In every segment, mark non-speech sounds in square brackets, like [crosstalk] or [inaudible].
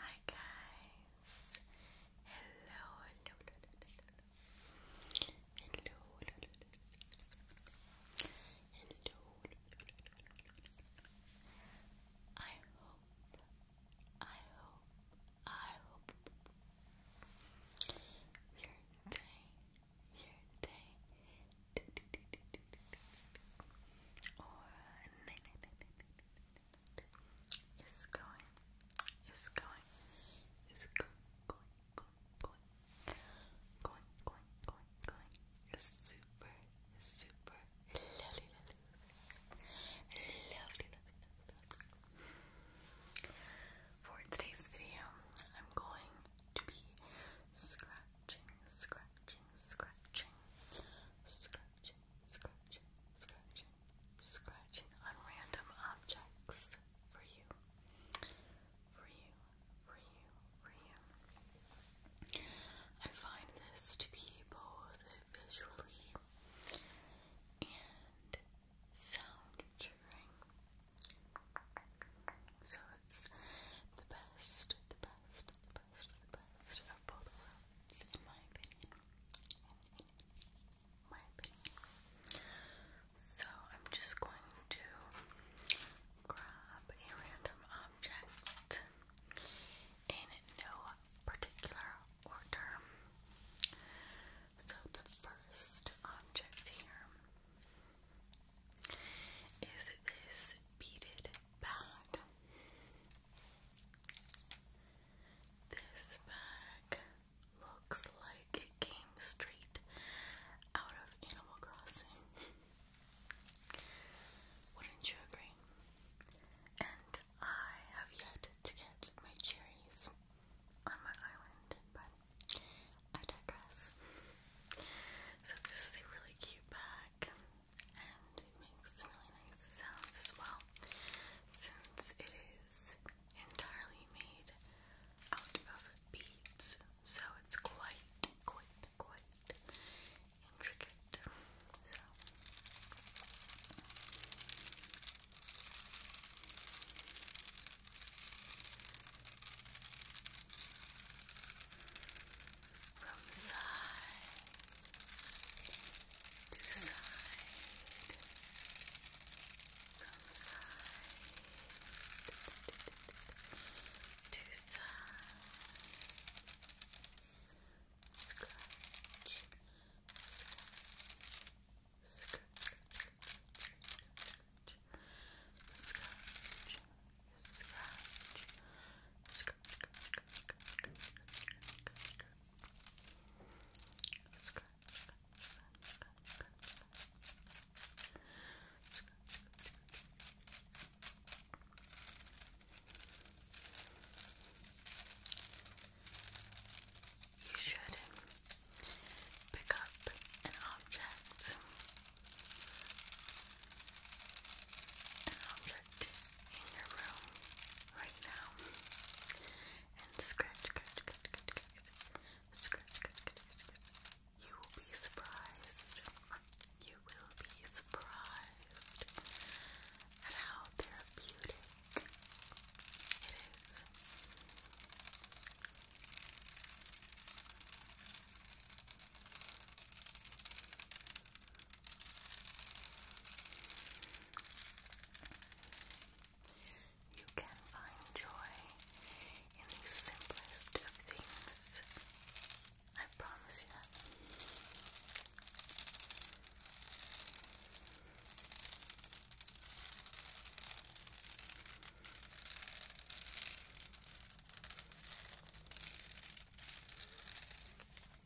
Hi guys. Hello, hello, hello, hello. Hello. I hope I hope I hope your day your day or night night night night night is going, is going, is going, going, going, going, going, going, going, going, super, super lovely, lovely, lovely, lovely. For today's video, I'm going to be scratching, scratching, scratching, scratching, scratching, scratching, scratching on random objects for you, for you, for you, for you. I find this to be both visually and sound So it's the best, the best, the best, the best of both worlds. It's in my opinion. my opinion. So I'm just going to grab a random object in no particular order. So the first object here is this beaded bag. This bag looks like it came straight out of Animal Crossing. Wouldn't you agree? And I have yet to get my cherries on my island, but I digress. So, this is a really cute bag and it makes really nice sounds as well since it is entirely made out of beads, so it's quite, quite, quite intricate. So. Okay, from side to side, from side to side, scratch, scratch. Scratch, scratch, scratch, scratch, you should pick up An object comfort in your room right now. And scratch, scratch, scratch, scratch, scratch, scratch, scratch. You will be surprised. You will be surprised at how therapeutic it is. You can find joy in the simplest of things. I promise you that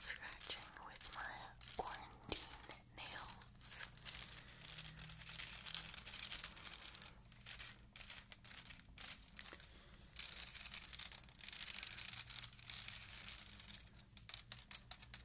Scratching with my quarantine nails.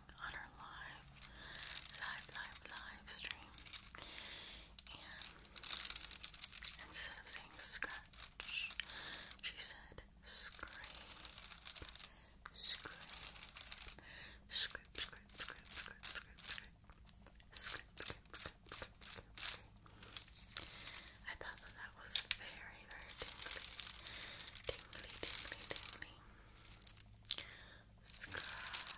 watching on our live, live, live, live stream. instead of saying scratch, she said scrape, scrape, scrape, scrape, scrape, scrape, scrape, scrape. Scrape, scrape, scrape, scrape, scrape, scrape. I thought that that was very, very tingly. Tingly, tingly, tingly. Scratch,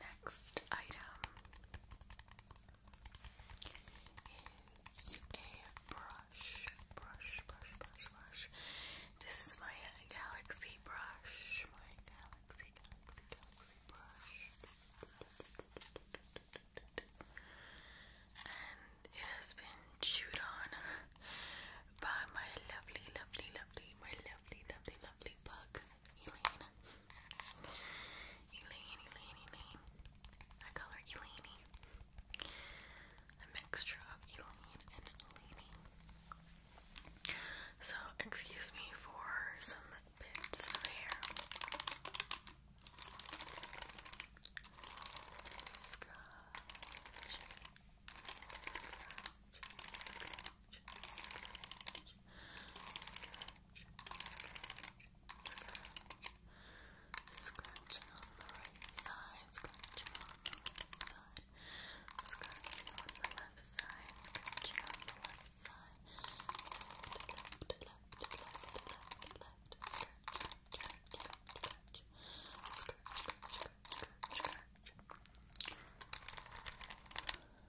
next item is a brush, brush, brush, brush, brush. This is my galaxy brush, my galaxy, galaxy, galaxy brush. And it has been chewed on by my lovely, lovely, lovely, my lovely, lovely, lovely lovely book, Elaine. Elaine, Elaine, Elaine. I call her Elaine. A mixture of Elaine and Elaine. So, excuse me for some bits of hair. Scratching on the right side, scratching on the left side, scratching on the left side, scratching on the left side, left, left, left, left, left, left, scratch, scratch, scratch, scratch, scratch, scratch, scratch, scratch.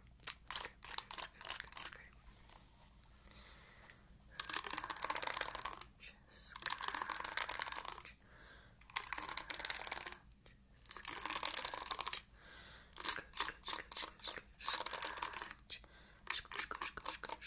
Okay, okay, okay. Scratch, scratch, scratch. Scratch, scratch, scratch, scratch,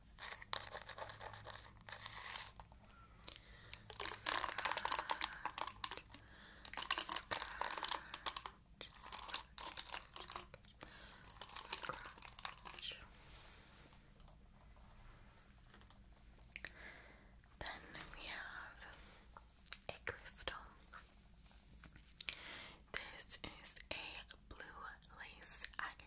Scratch. Then we have a crystal. This is a blue lace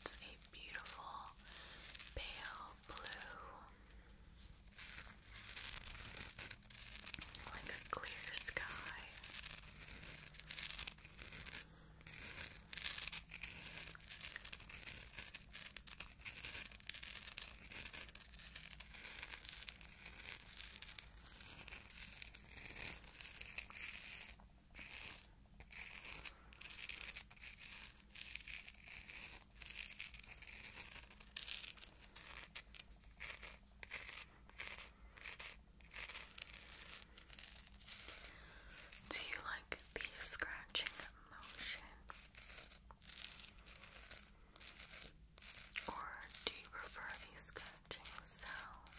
It's a beautiful pale blue, like a clear sky. Do you like the scratching motion? Or do you prefer the scratching sound?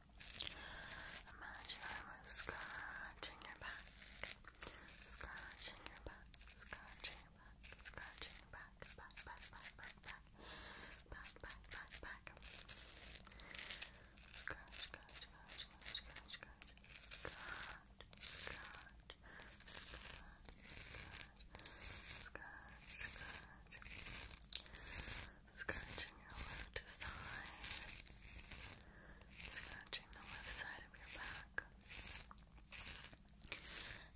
Imagine I was scratching your back, scratching your back, scratching your back, scratching your back, back, back, back, back, back, back, back, back, back. Scratch, scratch, scratch, scratch, scratch, scratch, scratch, scratch, scratch, scratch, scratch, scratch. Scratching your left side. Scratching the left side of your back.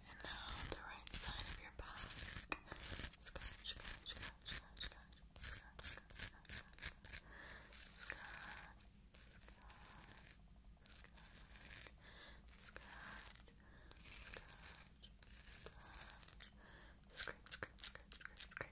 And now the right side of your back. Scratch, scratch, scratch, scratch, scratch, scratch, scratch, scratch, scratch, scratch. Scratch, scratch, scratch, scratch, scratch, scratch, scratch, scratch,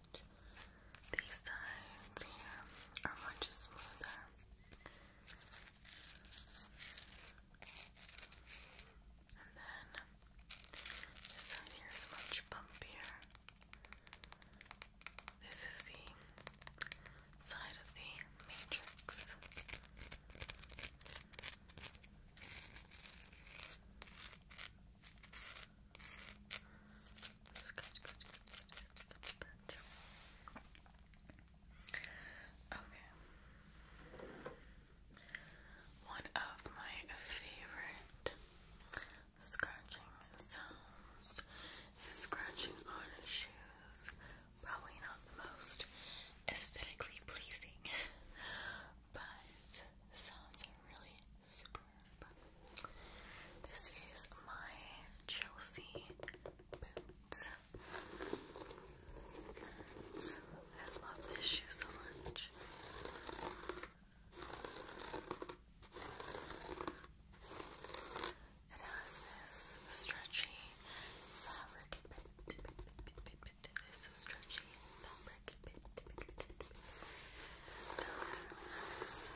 These sides here are much smoother. And then this side here is much bumpier. This is the side of the matrix. Scratch, scratch, Okay. One of my favorite scratching sounds is scratching on shoes. Probably not the most aesthetically pleasing, [laughs] but sounds really super this is my Chelsea boot. I love this shoe so much. It has this stretchy fabric bit, bit, stretchy fabric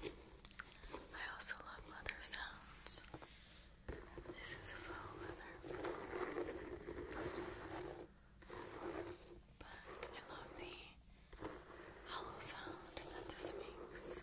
I also love leather sounds. This is a faux leather. But I love the hollow sound that this makes.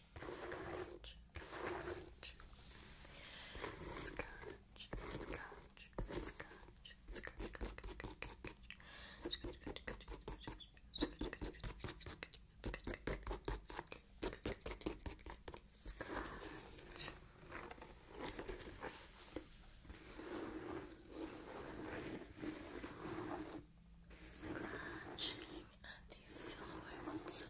scratch, scratch, scratch, scratch, scratch, Scratching, at the soles of the boot.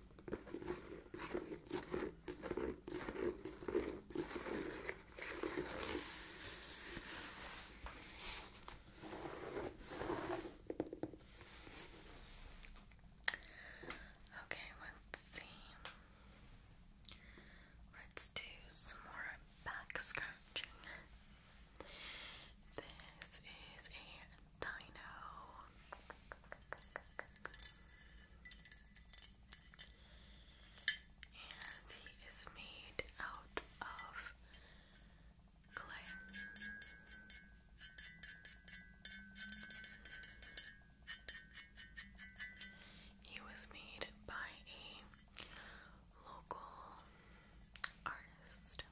Okay, let's see. Let's do some more back scratching. This is a dino. And he is made out of clay. He was made by a local artist.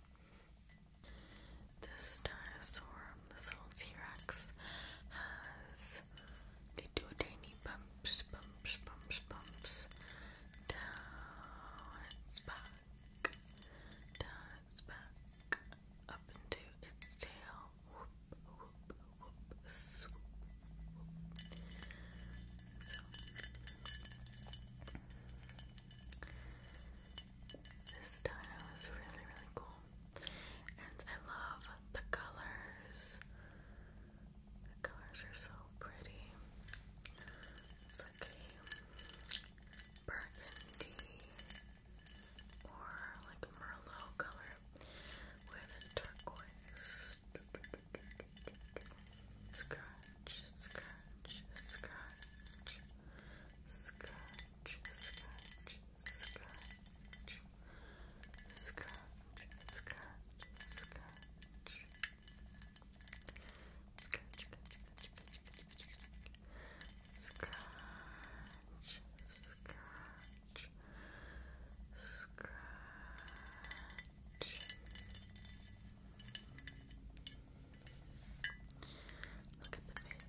This dinosaur arm. Um, this little T-Rex has they do tiny bumps, bumps, bumps, bumps down its back, down its back, up into its tail. this time was really, really cool and I love the colors. The colors are so pretty. It's like a burgundy or like merlot color with a turquoise. Scratch, scratch, scratch, scratch, scratch, scratch, scratch, scratch. Scratch, scratch, scratch. Look at the face.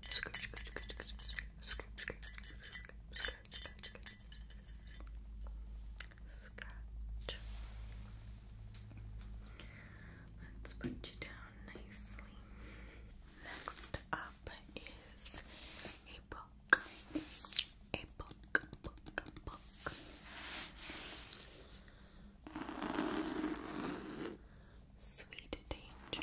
Scoop, Let's put you down nicely. Next up is a book. A book, book, book sweet danger.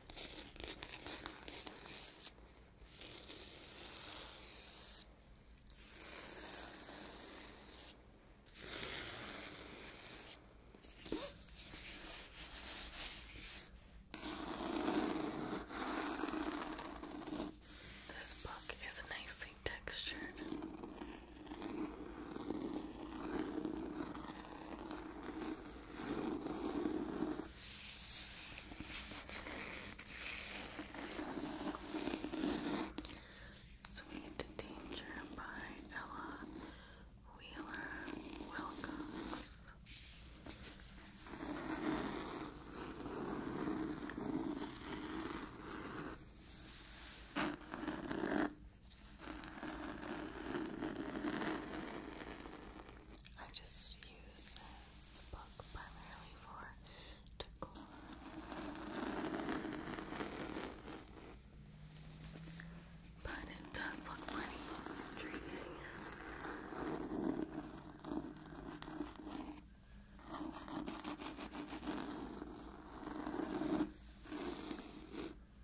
This book is nicely textured. Sweet Danger by Ella Wheeler Wilcox. I just use this book primarily for decor. But it does look funny intriguing.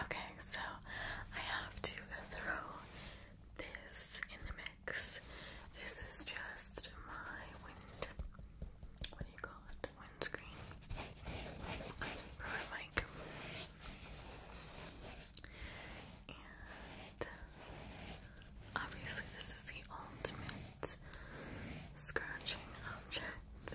Okay, so I have to throw this in the mix. This is just my wind. What do you call it? Windscreen. Or my mic. And obviously, this is the ultimate scratching object.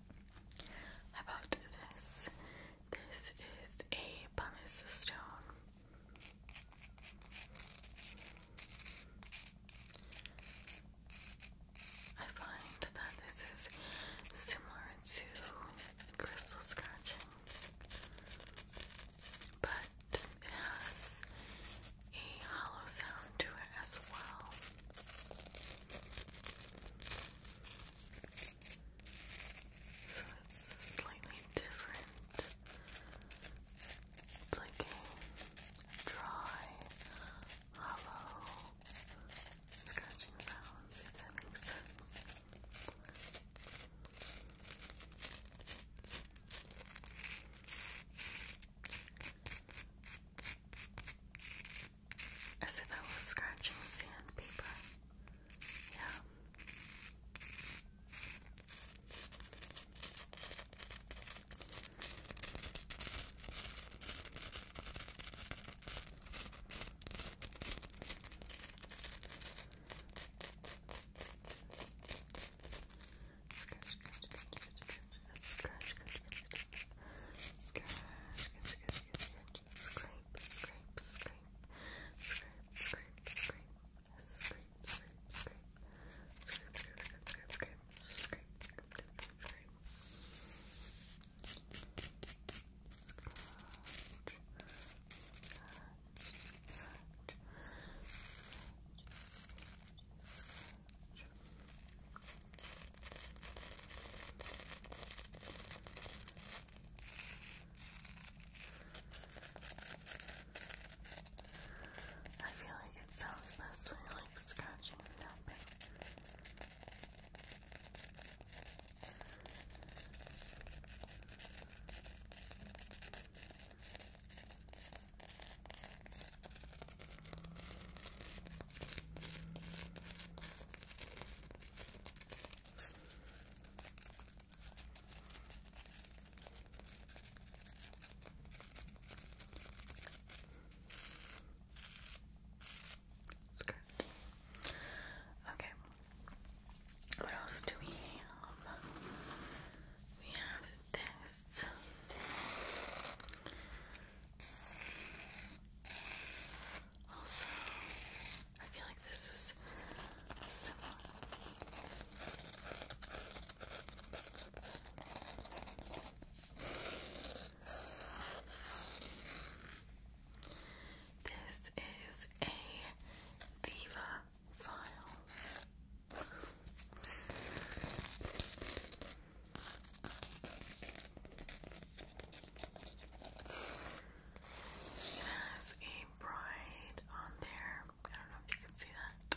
about this? This is a pumice stone. I find that this is similar to crystal scratching, but it has a hollow sound to it as well. So it's slightly different. It's like a dry, hollow scratching sounds, if that makes sense. As if I was scratching sandpaper. Yeah. Scratch, scratch, Scratch, scratch, scratch, scratch. Scrape, scrape, scrape. Scrape, scrape, scrape. Scrape, scrape, scrape. Scrape, scrape, scrape, scrape. Scrape, scrape, scrape, scrape. Scratch, scratch, scratch. Scratch, scratch, scratch. I feel like it sounds best when you're like scratching and tapping. Skirt. Okay. What else do we have? We have this. Also, I feel like this is similar. This is a diva file. It has a bride on there. I don't know if you can see that.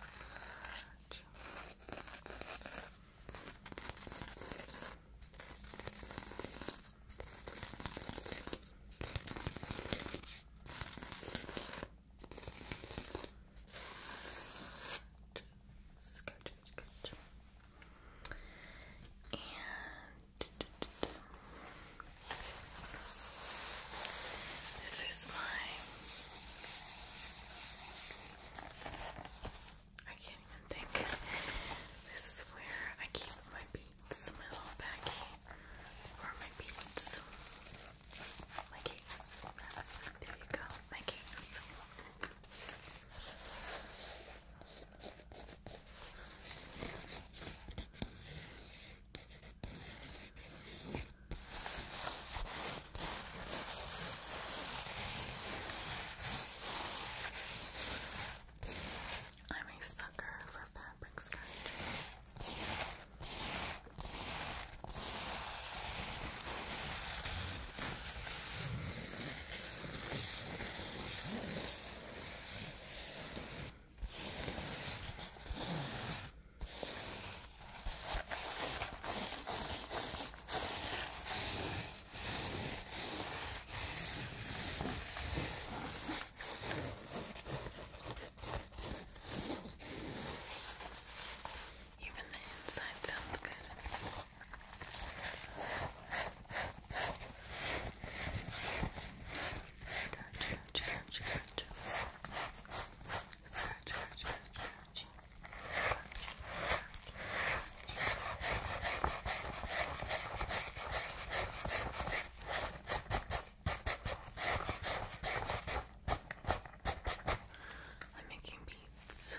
Stretch. Scratch, scratch. And this is my I can't even think. This is where I keep my beads, my little baggie, or my beads. My cakes. There you go, my cakes. I'm a sucker for fabric scratching. Even the inside sounds good. Scratch, scratch, scratch, scratch. Scratch, scratch, scratch, scratch. I'm making beats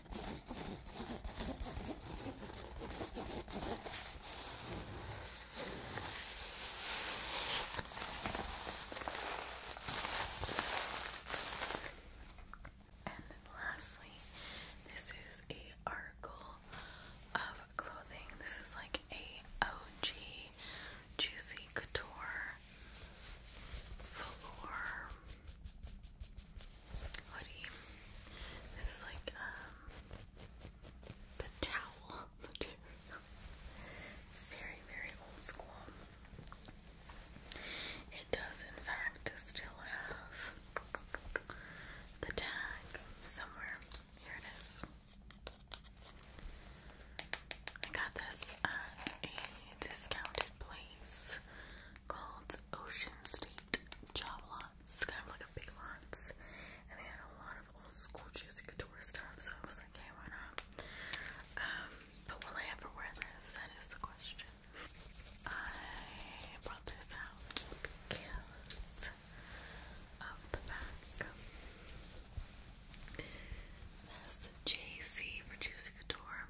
And lastly, this is a article of clothing. This is like a OG Juicy Couture hoodie. This is like um, the towel [laughs] Very, very old school. It does in fact still have the tag somewhere. Here it is. I got this at a discounted place called Ocean State Job Lots. It's kind of like a big lots. And they had a lot of old school juicy couture stuff, so I was like, hey, why not? Um, but will I ever wear this? That is the question. I brought this out because of JC for Juicy Couture.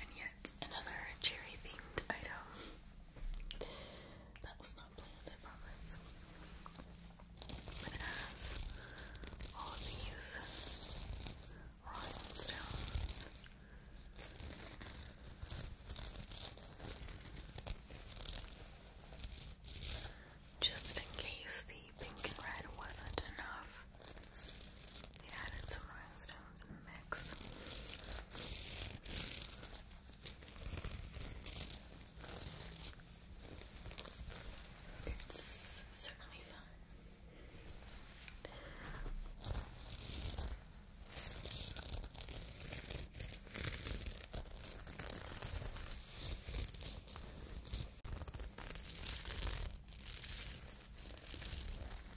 And yet, another cherry themed item. That was not planned, I promise. But as all these rhinestones just in case the pink and red wasn't enough, we added some rhinestones in the mix. It's certainly fun.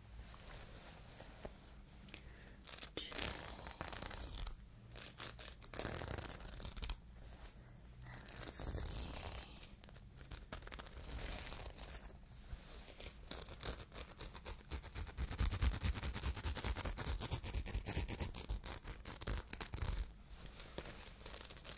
J and C.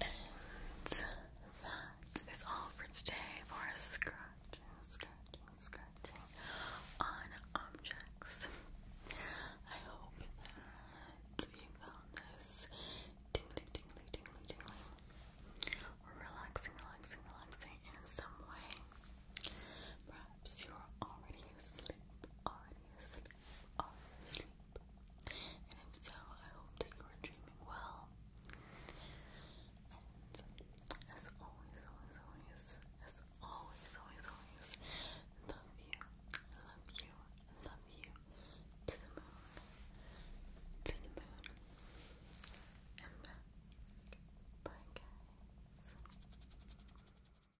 And that is all for today for a scratching, scratching, scratching on objects. I hope that you found this tingly, tingly, tingly, tingly, or relaxing, relaxing, relaxing in some way. Perhaps you are already asleep, already asleep are asleep. And if so, I hope that you are dreaming well. And as always, always, always, as always, always, always, love you, love you, love you to the moon, to the moon, and back. Bye, guys.